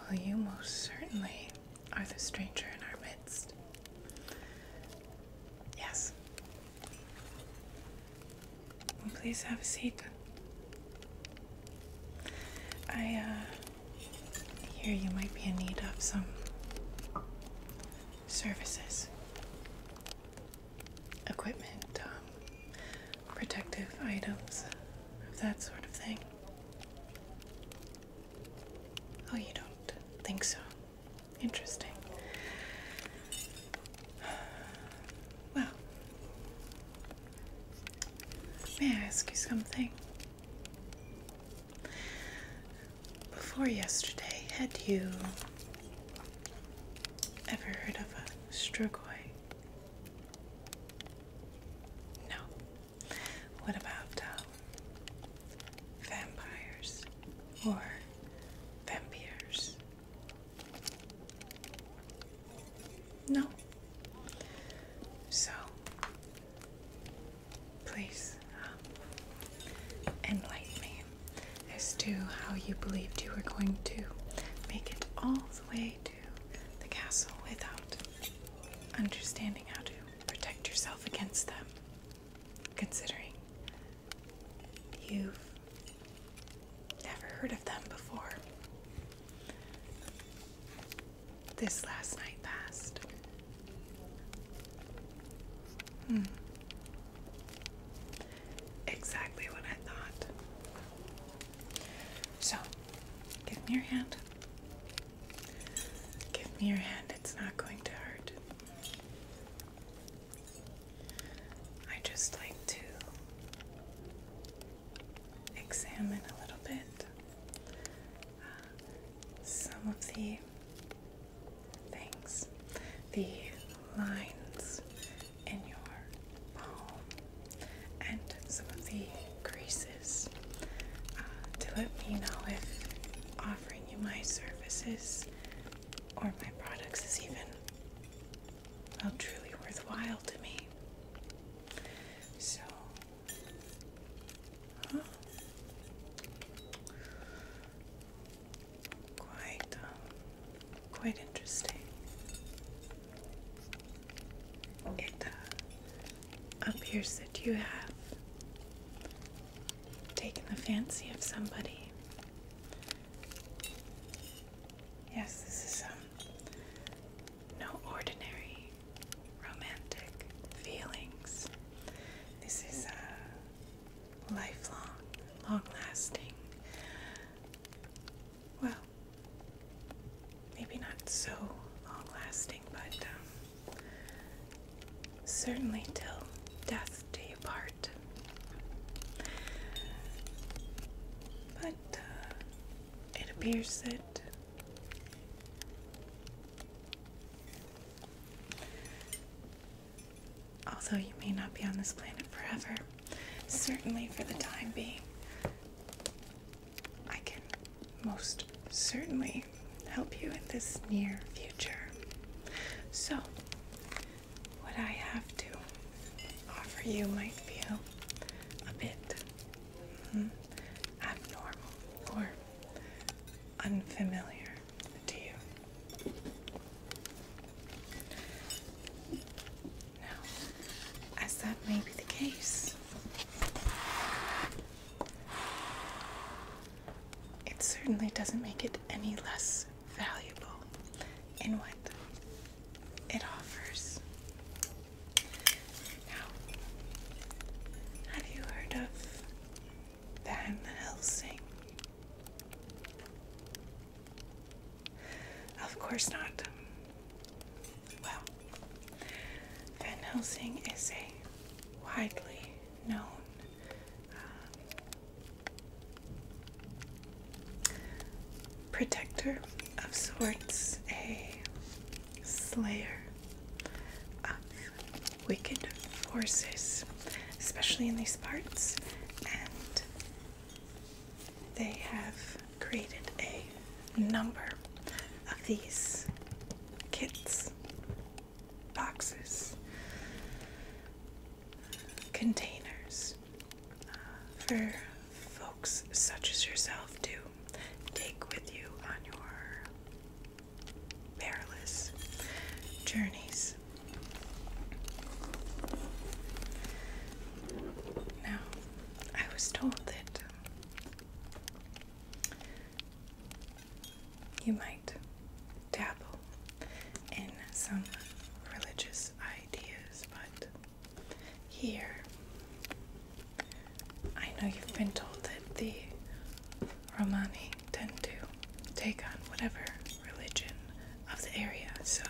Well, you most certainly are the stranger in our midst. Yes. Please have a seat. I uh, hear you might be in need of some services, equipment, um, protective items, of that sort of thing. Oh, you don't think so? Interesting. Well, may I ask you something? Before yesterday, had you ever heard of a strogoi? No. What about um, vampires or vampires? No. So, Please um, enlighten me as to how you believed you were going to make it all the way to the castle without understanding how to protect yourself against them, considering you've never heard of them before. This last night passed, Hmm. Exactly what I thought. So, give me your hand. Give me your hand, it's not going to hurt. I just like to examine a little bit some of the things, the lines in your palm, and some of the creases uh, to let me know if offering you my services or my products is even well truly worthwhile to me. So, quite uh, quite interesting. It uh, appears that you have taken the fancy of somebody. Yes, this is um, no ordinary romantic feelings. This is a. Uh, lifelong, long lasting. Well, maybe not so long lasting, but um, certainly till death do you part. But uh, it appears that although you may not be on this planet forever, certainly for the time being, I can most certainly help you in this near future. So, what I have to offer you might feel a bit hmm, abnormal or unfamiliar to you. Now, as that may be the case, it certainly doesn't make it any less valuable in what it offers. Now, have you heard of Van Helsing. Of course not. Well, Van Helsing is a widely known uh, protector of sorts, a slayer wicked forces, especially in these parts, and they have created a number of these kits, boxes, containers uh, for folks such as yourself to take with you on your perilous journeys. Now, I was told that um, you might dabble in some religious ideas, but here I know you've been told that the Romani tend to take on whatever religion of the area. So,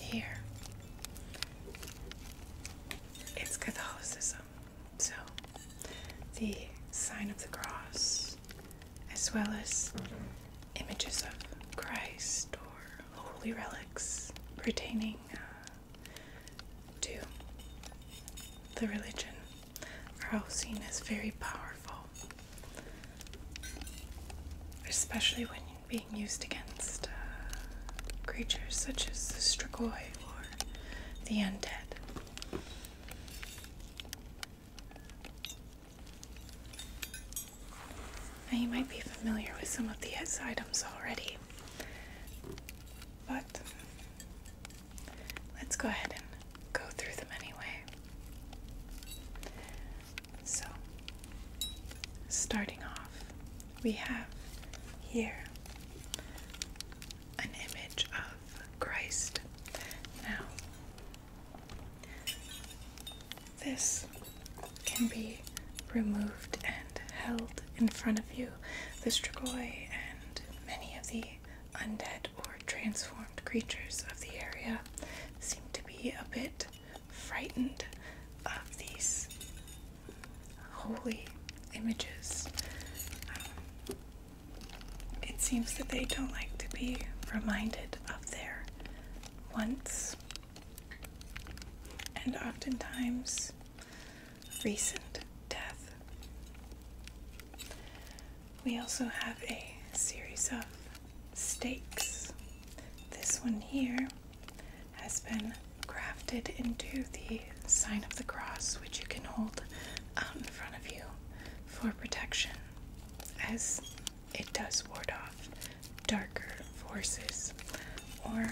here it's Catholicism. So, the sign of the cross, as well as images of Christ or holy relics pertaining uh, to the religion our is very powerful, especially when being used against uh, creatures such as the Strigoi or the Undead. Now, you might be familiar with some of these items already, but let's go ahead and go through them anyway. So, starting off, we have here an image of Christ. Now, this can be removed and held in front of you. The Strigoi and many of the undead or transformed creatures of the area seem to be a bit frightened of these holy images. Um, it seems that they don't like to be reminded of their once, and oftentimes recent death. We also have a series of stakes. This one here has been grafted into the sign of the cross, which you can hold out in front of you for protection, as it does ward off darker forces, or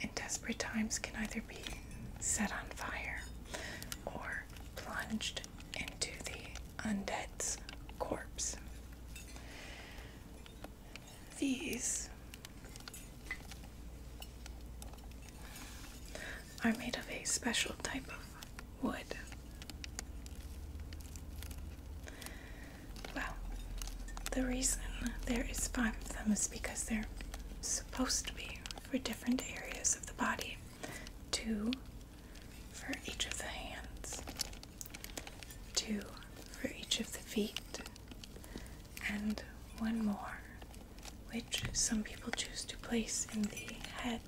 in desperate times can either be set on fire, or plunged into the undead's corpse. These are made of a special type of wood. Well, the reason there is five of them is because they're supposed to be for different areas of the body, two for each of the hands, two for each of the feet, and one more, which some people choose to place in the head.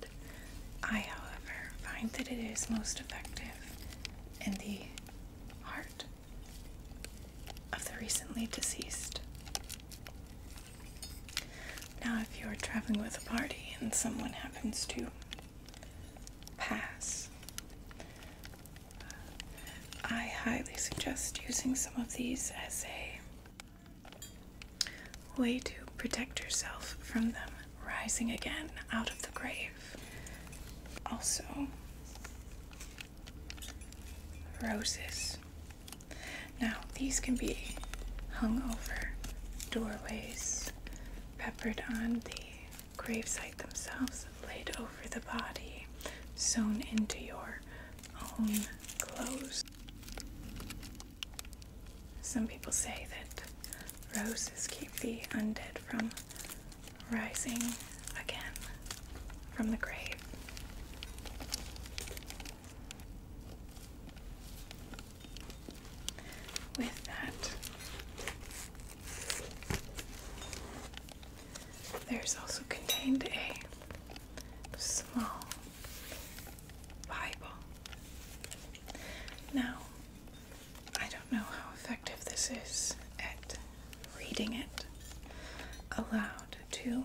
I, however, find that it is most effective in the heart of the recently deceased. Now, if you're traveling with a party and someone happens to pass, I highly suggest using some of these as a way to protect yourself from them rising again out of the grave. Also, roses now, these can be hung over doorways, peppered on the gravesite themselves, laid over the body, sewn into your own clothes. Some people say that roses keep the undead from rising again from the grave. With that, there's also contained a small Bible. Now, I don't know how effective this is at reading it aloud to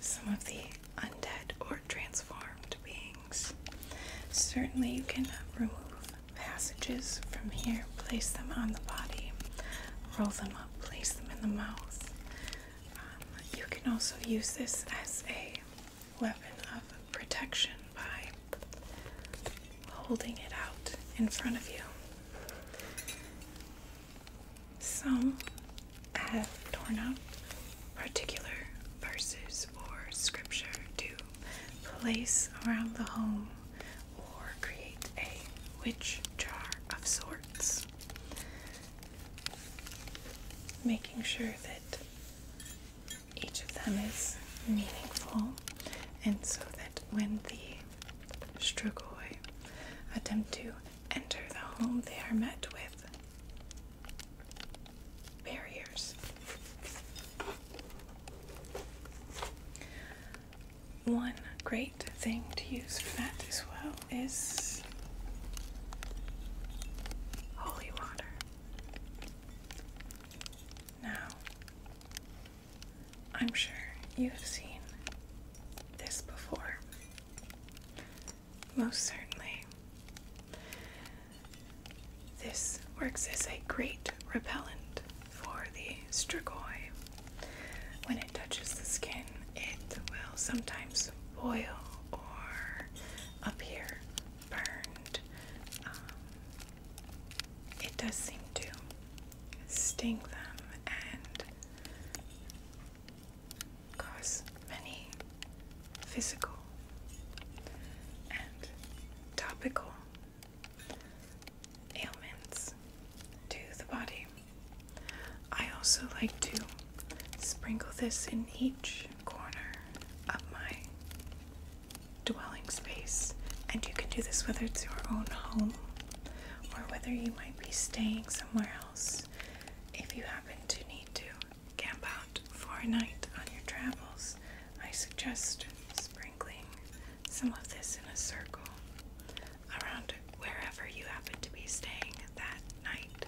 some of the undead or transformed beings. Certainly, you can remove passages from here, place them on the body, roll them up, place them in the mouth. Um, you can also use this as a weapon of protection by holding it out in front of you. Some have torn up particular verses or scripture to place around the home or create a witch jar of sorts, making sure that each of them is meaningful and so that when the strugoi attempt to enter the home, they are met with barriers. One great thing to use for that as well is holy water. Now, I'm sure you have seen this before. Most certainly. This works as a great repellent for the strigoi. When it touches the skin, it will sometimes boil or appear burned. Um, it does seem to sting them and cause many physical and topical ailments to the body. I also like to sprinkle this in each corner of my dwelling space, and you can do this whether it's your own home or whether you might be staying somewhere else if you happen to need to camp out for a night on your travels, I suggest sprinkling some of this in a circle around wherever you happen to be staying that night.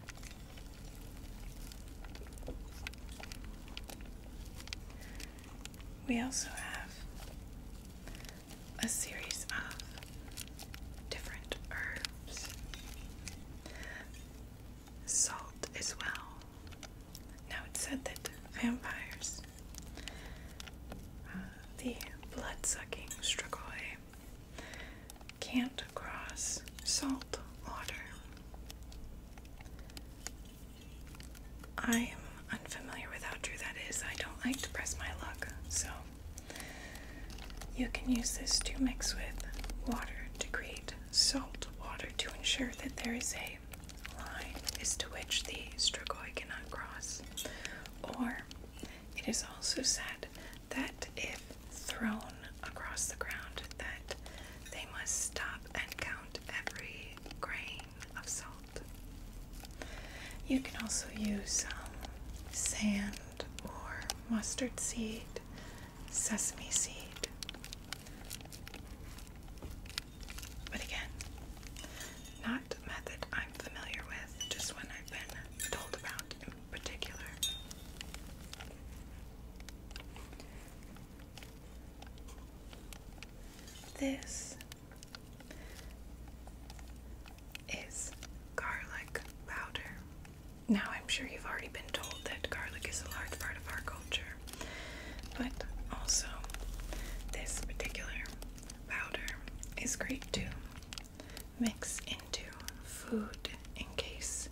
We also have a series of different herbs salt as well. Now it said that vampires, uh, the blood sucking strigoi, can't cross salt water. I am unfamiliar with how true that is. I don't like to press my luck, so you can use this to mix with water to create salt water to ensure that there is a line as to which the strigoi cannot cross. Or it is also said that if thrown across the ground that they must stop and count every grain of salt. You can also use um, sand or mustard seed sesame seed. But again, not a method I'm familiar with, just one I've been told about in particular. This is garlic powder. Now, I'm sure you've already been told that garlic is a large part of our culture, but also this particular powder is great to mix into food in case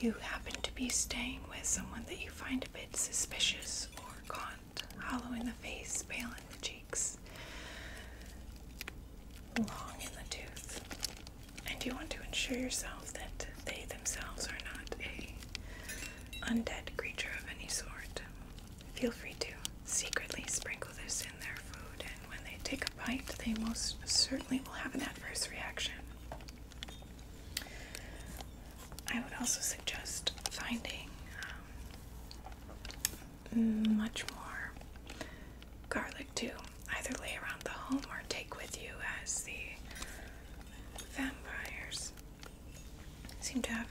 you happen to be staying with someone that you find a bit suspicious or gaunt, hollow in the face, pale in the cheeks, long in the tooth and you want to ensure yourself that they themselves are not a undead creature of any sort. Feel free to secretly sprinkle this in their food, and when they take a bite, they most certainly will have an adverse reaction. I would also suggest finding um, much more garlic too either lay around the home or take with you as the vampires seem to have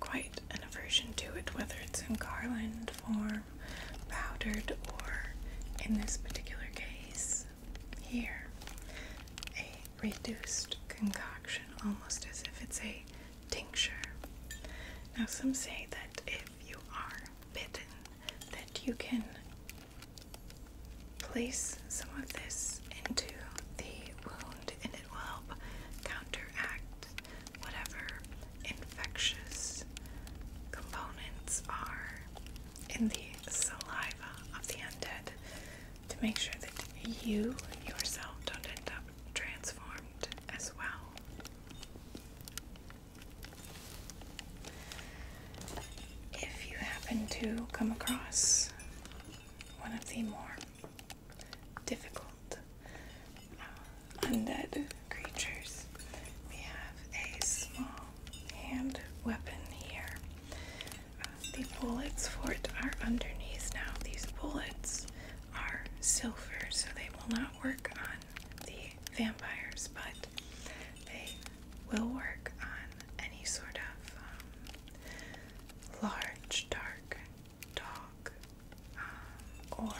quite an aversion to it, whether it's in garland form, powdered, or in this particular case here, a reduced concoction, almost as if it's a tincture. Now, some say that if you are bitten, that you can Place some of this into the wound and it will help counteract whatever infectious components are in the saliva of the undead to make sure that you yourself don't end up transformed as well. If you happen to come across one of the more difficult uh, undead creatures, we have a small hand weapon here. Uh, the bullets for it are underneath now. These bullets are silver, so they will not work on the vampires, but they will work on any sort of um, large, dark dog, um, or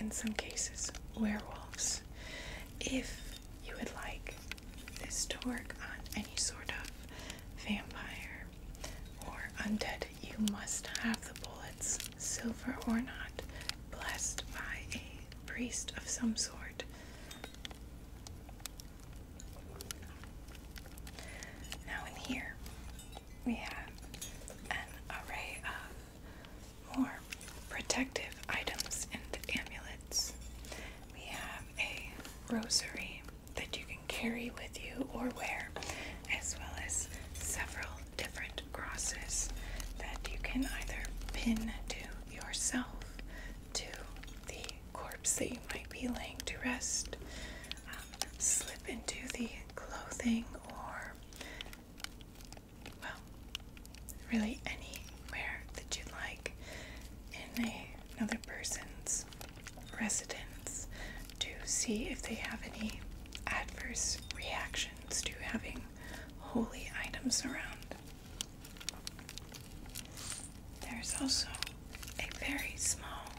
in some cases, werewolves. If you would like this to work on any sort of vampire or undead, you must have the bullets, silver or not, blessed by a priest of some sort. Now in here we have an array of more protective items and amulets. We have a rosary that you can carry with you or wear, as well as several different crosses that you can either pin to yourself to the corpse that you might be laying to rest. Um, slip into the clothing or, well, really anywhere that you'd like in another person's residence to see if they have any adverse reactions to having holy items around. There's also a very small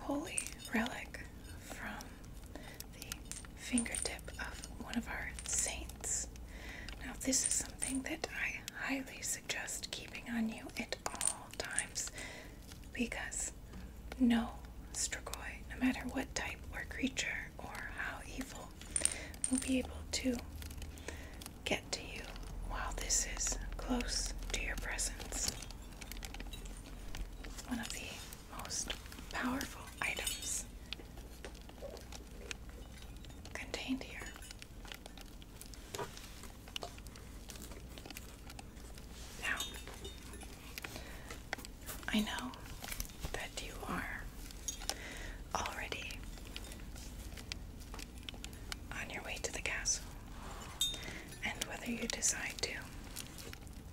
holy relic from the fingertip of one of our saints. Now, this is something that I highly suggest keeping on you at all times because no strigoi, no matter what type or creature, or how evil will be able to get to you while this is close to your presence. one of the most powerful items contained here. Now, I know that you are already on your way to the castle. And whether you decide to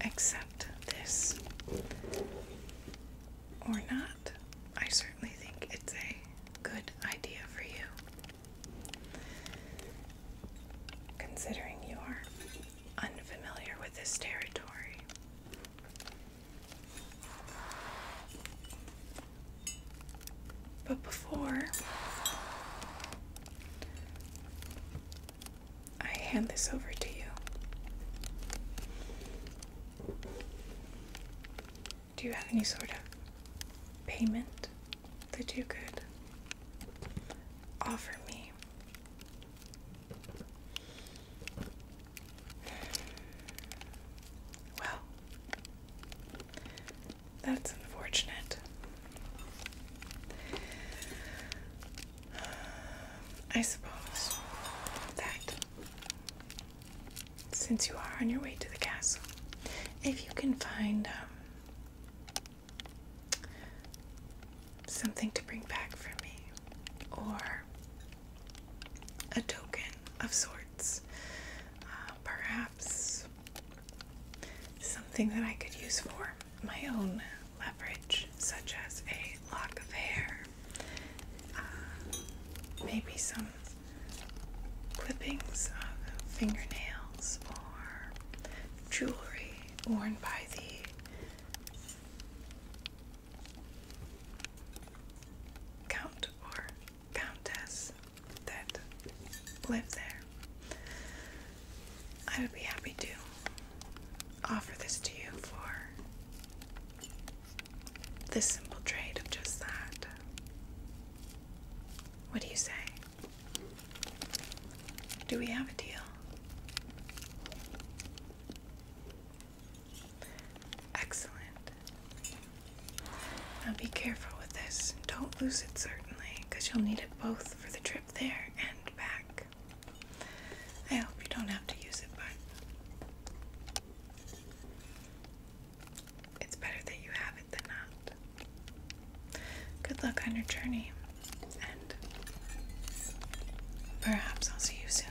accept this or not, I certainly think it's a good idea for you. Considering you are unfamiliar with this territory, but before I hand this over to you, do you have any sort of payment that you could offer me? Well, that's unfortunate. I suppose that since you are on your way to the castle, if you can find um, something to bring back for me, or a token of sorts, uh, perhaps something that I could use for my own leverage, such as a lock of hair, uh, maybe some clippings of fingernails or jewelry worn by the count or countess that live there. I would be happy to offer this to you for this simple trade of just that. What do you say? Do we have a deal? Excellent. Now be careful with this. Don't lose it, certainly, because you'll need it both for the trip there and back. I hope you don't have to use it, but it's better that you have it than not. Good luck on your journey, and perhaps I'll see you soon.